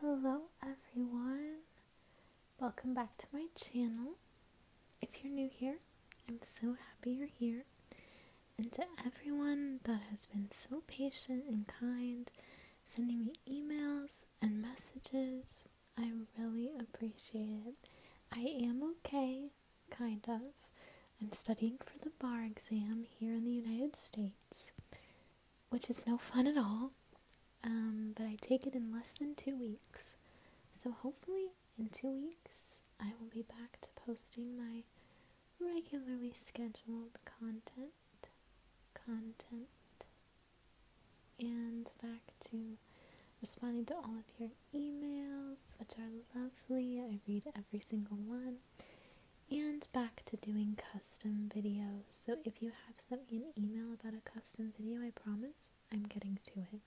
Hello everyone, welcome back to my channel. If you're new here, I'm so happy you're here. And to everyone that has been so patient and kind, sending me emails and messages, I really appreciate it. I am okay, kind of. I'm studying for the bar exam here in the United States which is no fun at all. Um, but I take it in less than two weeks. So hopefully, in two weeks, I will be back to posting my regularly scheduled content. Content. And back to responding to all of your emails, which are lovely. I read every single one and back to doing custom videos. So if you have sent me an email about a custom video, I promise I'm getting to it.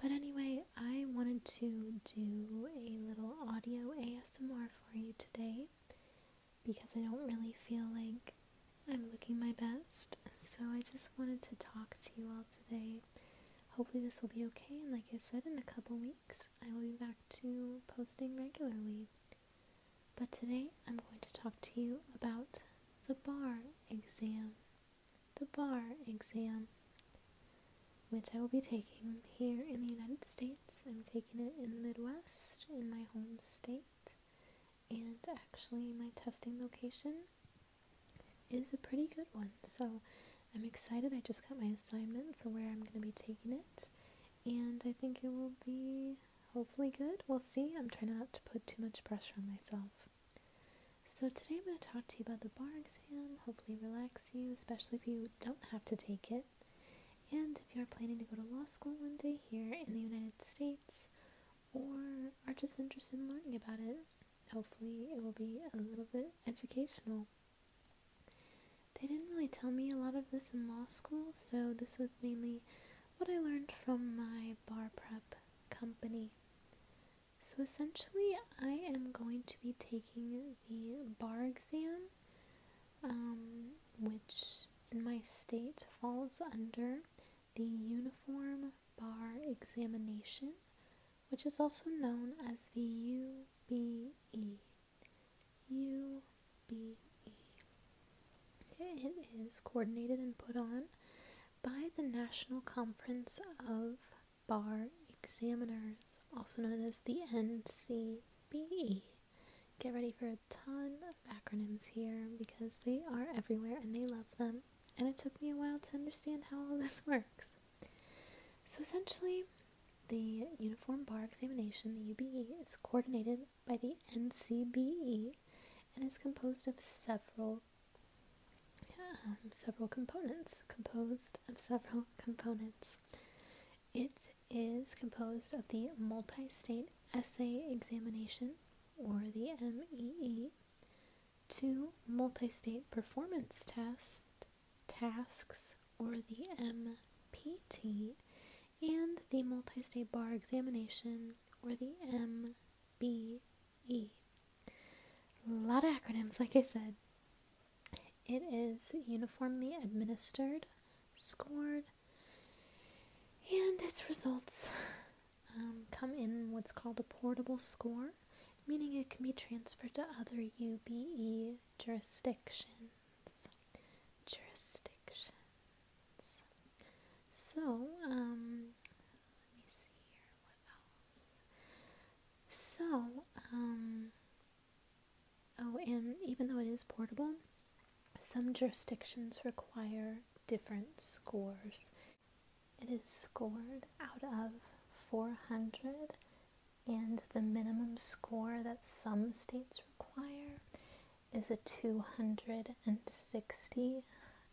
But anyway, I wanted to do a little audio ASMR for you today because I don't really feel like I'm looking my best. So I just wanted to talk to you all today. Hopefully this will be okay and like I said in a couple weeks I will be back to posting regularly. But today I'm going to talk to you about the bar exam. The bar exam, which I will be taking here in the United States. I'm taking it in the Midwest, in my home state, and actually my testing location is a pretty good one. So I'm excited. I just got my assignment for where I'm going to be taking it and I think it will be hopefully good. We'll see. I'm trying not to put too much pressure on myself. So, today I'm going to talk to you about the bar exam, hopefully, relax you, especially if you don't have to take it. And if you're planning to go to law school one day here in the United States or are just interested in learning about it, hopefully, it will be a little bit educational. They didn't really tell me a lot of this in law school, so this was mainly what I learned from my bar prep company. So essentially, I am going to be taking the bar exam, um, which in my state falls under the Uniform Bar Examination, which is also known as the UBE. U B E. It is coordinated and put on by the National Conference of Bar Examiners, also known as the NCBE. Get ready for a ton of acronyms here because they are everywhere and they love them. And it took me a while to understand how all this works. So essentially, the Uniform Bar Examination, the UBE, is coordinated by the NCBE and is composed of several um, several components. Composed of several components. It is composed of the Multi-State Essay Examination, or the MEE, two multi-state performance tests, tasks or the MPT and the multi-state bar examination or the MBE. A lot of acronyms, like I said. It is uniformly administered, scored, and its results um, come in what's called a portable score, meaning it can be transferred to other UBE jurisdictions jurisdictions. So, um, let me see here, what else? So, um, oh, and even though it is portable, some jurisdictions require different scores. It is scored out of 400 and the minimum score that some states require is a 260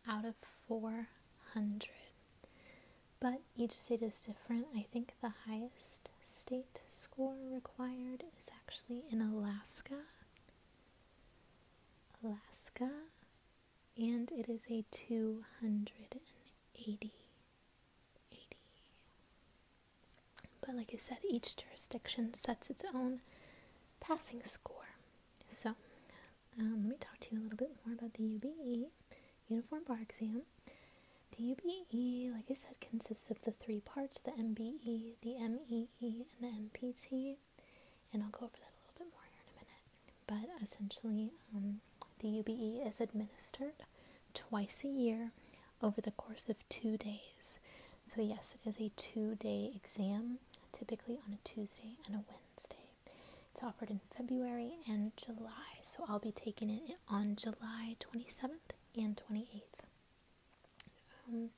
out of 400. But each state is different. I think the highest state score required is actually in Alaska. Alaska, and it is a 280. But like I said, each jurisdiction sets its own passing score. So um, let me talk to you a little bit more about the UBE, Uniform Bar Exam. The UBE, like I said, consists of the three parts, the MBE, the MEE, and the MPT. And I'll go over that a little bit more here in a minute. But essentially, um, the UBE is administered twice a year over the course of two days. So, yes, it is a two day exam, typically on a Tuesday and a Wednesday. It's offered in February and July, so I'll be taking it on July 27th and 28th. Um,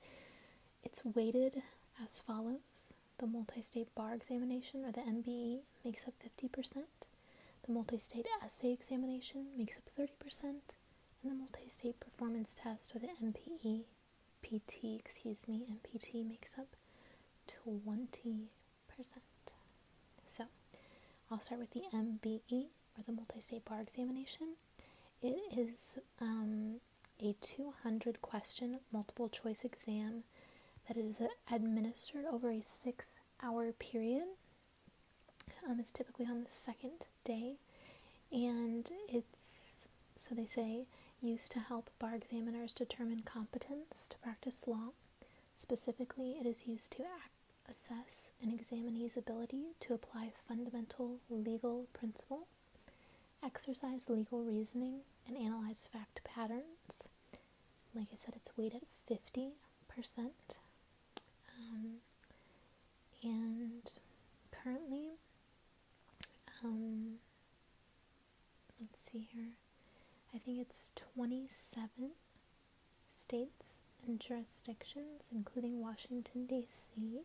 it's weighted as follows the multi state bar examination, or the MBE, makes up 50%. The multi-state essay examination makes up 30%, and the multi-state performance test or the MPE, PT, excuse me, MPT makes up 20%. So, I'll start with the MBE or the multi-state bar examination. It is um, a 200 question multiple choice exam that is administered over a six hour period um, it's typically on the second day, and it's so they say used to help bar examiners determine competence to practice law. Specifically, it is used to act, assess an examinee's ability to apply fundamental legal principles, exercise legal reasoning, and analyze fact patterns. Like I said, it's weighted at 50%. Um, and currently, um, let's see here, I think it's 27 states and jurisdictions, including Washington, D.C.,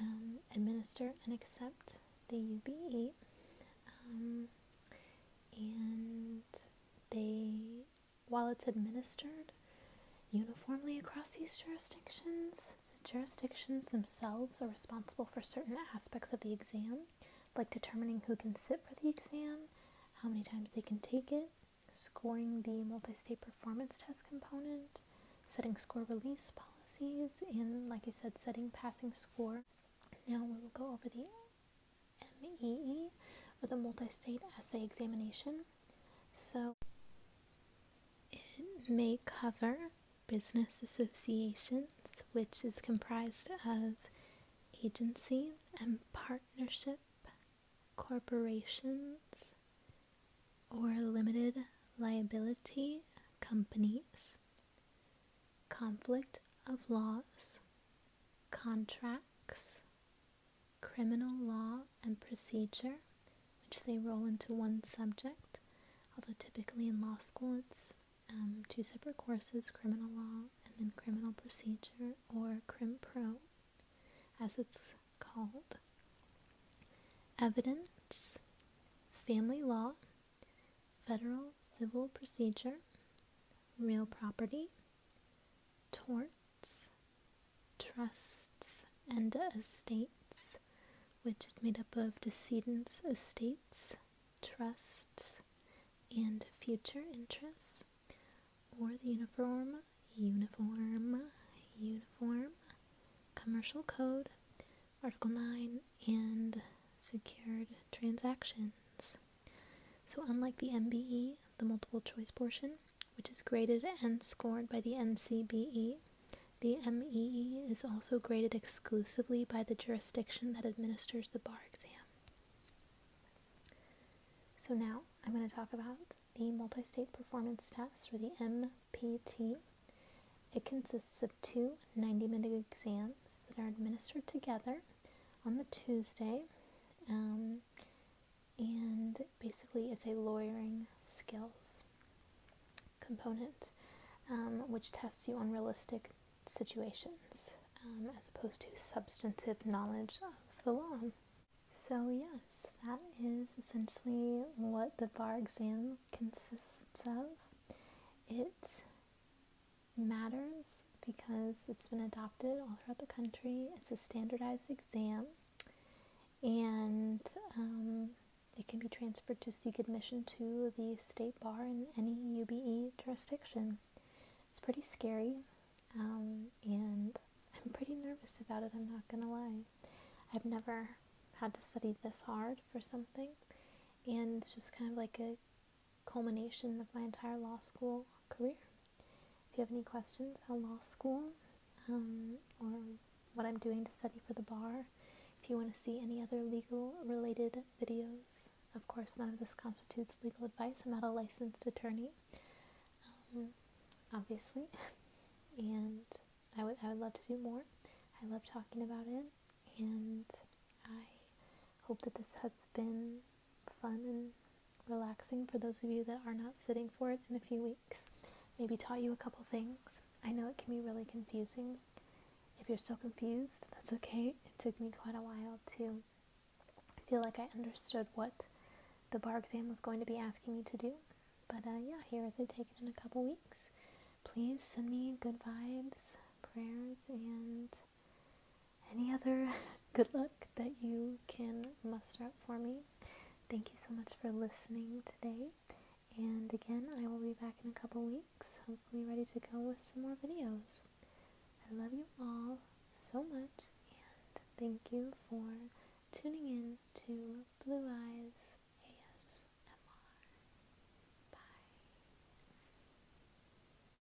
um, administer and accept the UBE. and they while it's administered uniformly across these jurisdictions, the jurisdictions themselves are responsible for certain aspects of the exam, like determining who can sit for the exam, how many times they can take it, scoring the multi state performance test component, setting score release policies, and like I said, setting passing score. Now we will go over the MEE with a multi-state essay examination. So it may cover business associations, which is comprised of agency and partnership corporations or limited liability companies, conflict of laws, contracts, criminal law, and procedure, which they roll into one subject, although typically in law school it's um, two separate courses criminal law and then criminal procedure or crim pro as it's called evidence family law federal civil procedure real property torts, trusts, and estates, which is made up of decedents, estates, trusts, and future interests, or the uniform, uniform, uniform, commercial code, Article 9, and secured transactions. So unlike the MBE, the multiple choice portion, which is graded and scored by the NCBE, the MEE is also graded exclusively by the jurisdiction that administers the bar exam. So now I'm going to talk about the multi-state performance test or the MPT. It consists of two 90-minute exams that are administered together on the Tuesday. Um, and basically, it's a lawyering skills component, um, which tests you on realistic situations um, as opposed to substantive knowledge of the law. So, yes, that is essentially what the bar exam consists of. It matters because it's been adopted all throughout the country. It's a standardized exam and um, it can be transferred to seek admission to the state bar in any UBE jurisdiction. It's pretty scary um, and I'm pretty nervous about it, I'm not gonna lie. I've never had to study this hard for something and it's just kind of like a culmination of my entire law school career. If you have any questions about law school um, or what I'm doing to study for the bar, if you want to see any other legal related videos, of course, none of this constitutes legal advice. I'm not a licensed attorney, um, obviously, and I would, I would love to do more. I love talking about it, and I hope that this has been fun and relaxing for those of you that are not sitting for it in a few weeks. Maybe taught you a couple things. I know it can be really confusing. If you're still confused, that's okay. It took me quite a while to feel like I understood what the bar exam was going to be asking me to do. But uh, yeah, here is I take it in a couple weeks. Please send me good vibes, prayers, and any other good luck that you can muster up for me. Thank you so much for listening today. And again, I will be back in a couple weeks, hopefully ready to go with some more videos. I love you all so much, and thank you for tuning in to Blue Eyes ASMR. Bye.